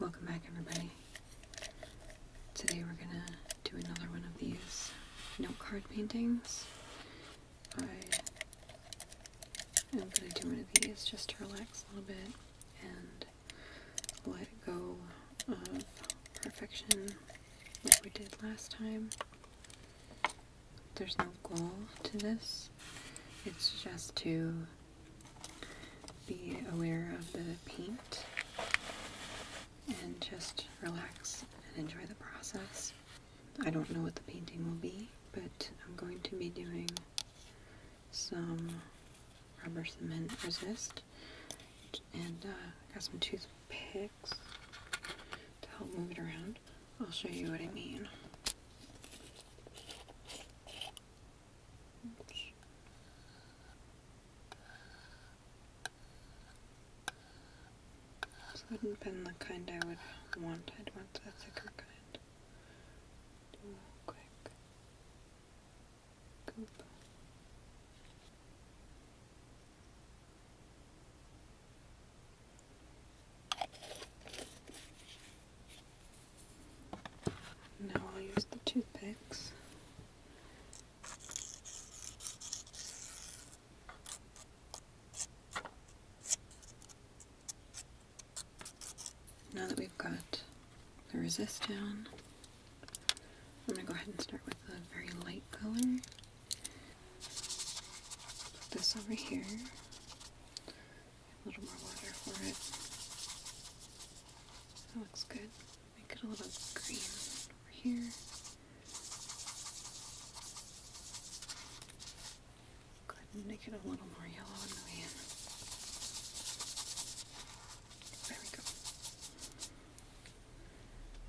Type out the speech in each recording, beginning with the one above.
Welcome back everybody. Today we're gonna do another one of these note card paintings. I am gonna do one of these just to relax a little bit and let go of perfection like we did last time. There's no goal to this. It's just to be aware of the paint and just relax and enjoy the process. I don't know what the painting will be, but I'm going to be doing some rubber cement resist and uh, got some toothpicks to help move it around. I'll show you what I mean. Oops. This wouldn't have been the kind I would want. I'd want the thicker kind. Do a quick goop. Now I'll use the toothpicks. Now that we've got the resist down, I'm going to go ahead and start with a very light color. Put this over here. A little more water for it. That looks good. Make it a little green over here. Go make it a little more yellow on the way in. There we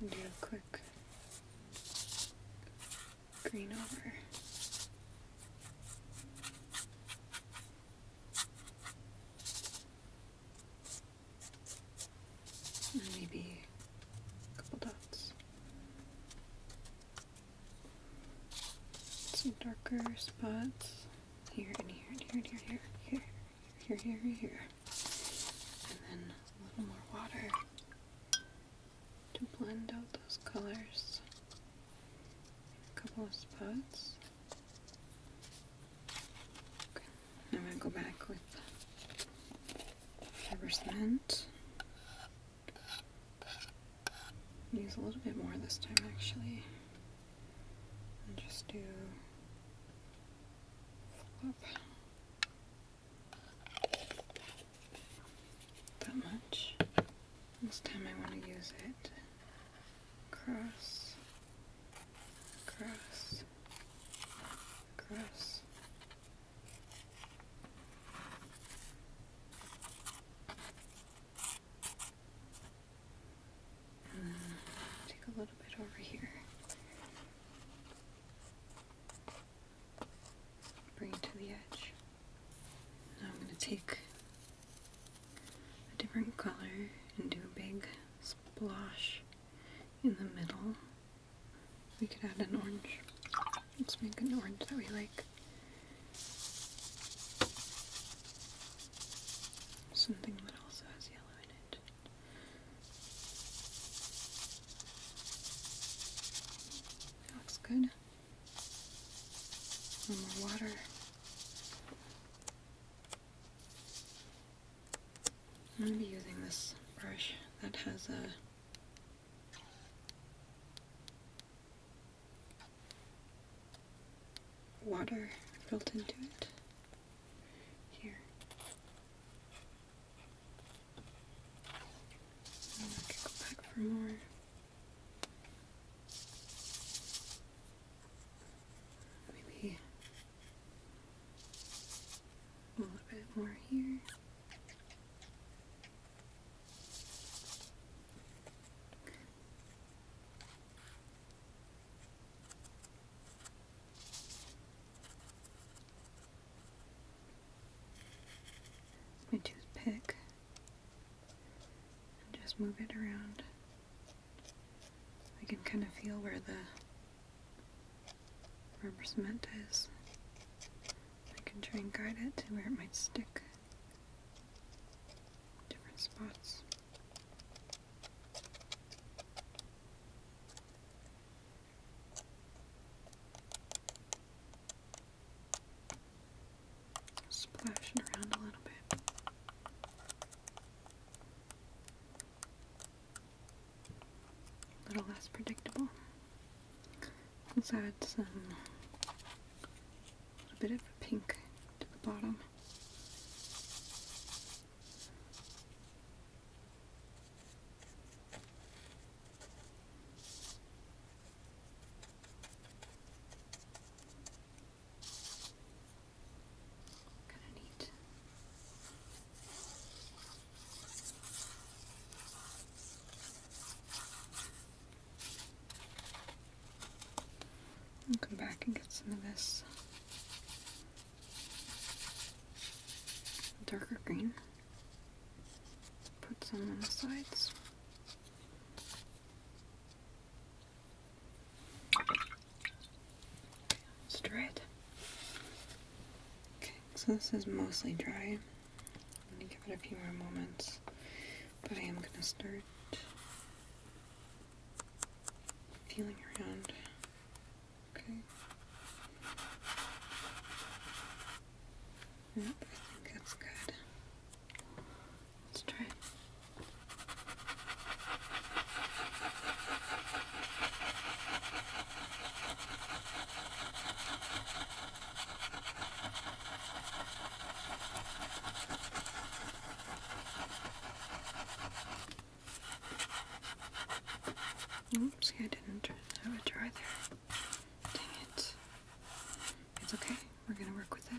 go. And do a quick green over maybe a couple dots. Some darker spots here and here and here and here, here, here, here, here. And then a little more water to blend out those colors a couple of spots. I'm going to go back with fiber Use a little bit more this time actually. just do That much. This time I want to use it cross, cross, cross. Uh, take a little bit over here. Bring it to the edge. Now I'm going to take a different color and do a big splash in the middle. We could add an orange. Let's make an orange that we like. Something that also has yellow in it. That looks good. One more water. I'm going to be using this brush that has a water built into it. Here. go back for more. Maybe a little bit more here. Okay. My toothpick just move it around. I can kind of feel where the rubber cement is. I can try and guide it to where it might stick. Different spots. Splashing around a little bit. A little less predictable. Let's add some a little bit of a pink to the bottom. Kind of neat. I'll come back and get some of this darker green. Put some on the sides. Stir Okay, so this is mostly dry. I'm gonna give it a few more moments, but I am gonna start Feeling around. Okay. Yep, I think that's good. Let's try it. Oops, I didn't turn a drawer there. Dang it. It's okay. We're gonna work with it.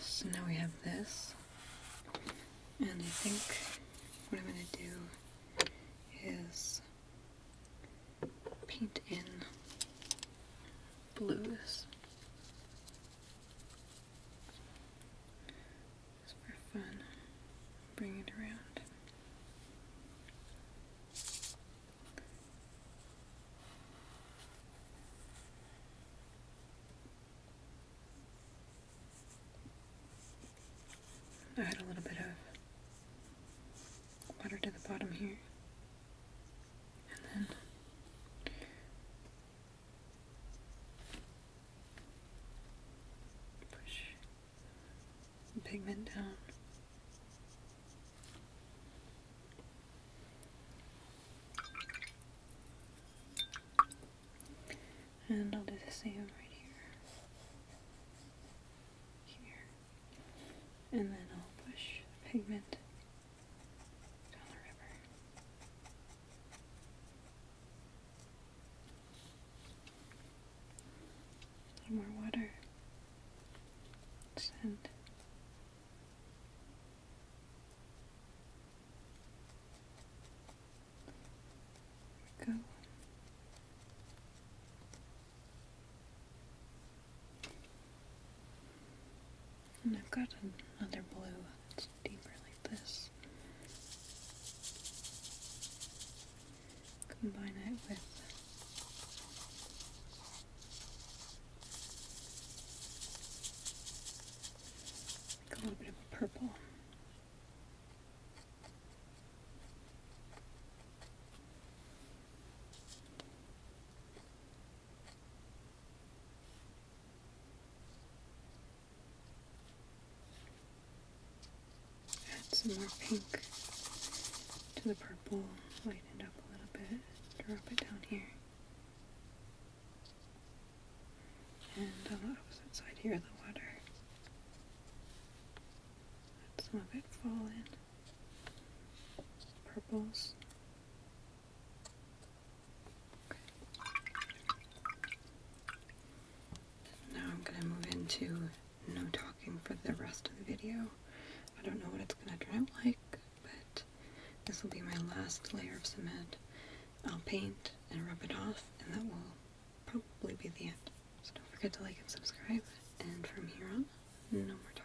So now we have this, and I think what I'm going to do is paint in blues. for fun, bring it around. Add a little bit of water to the bottom here. And then push pigment down and I'll do the same right here. Here. And then I'll push the pigment down the river. A little more water. Sand. And I've got another blue that's deeper like this. Combine it with a little bit of purple. Add some more pink to the purple, lighten it up a little bit, drop it down here. And on the opposite side here, the water. Let some of it fall in. Purples. Okay. Now I'm going to move into no talking for the rest of the video. I don't know what it's going to turn like but this will be my last layer of cement. I'll paint and rub it off, and that will probably be the end. So don't forget to like and subscribe, and from here on, no more talking.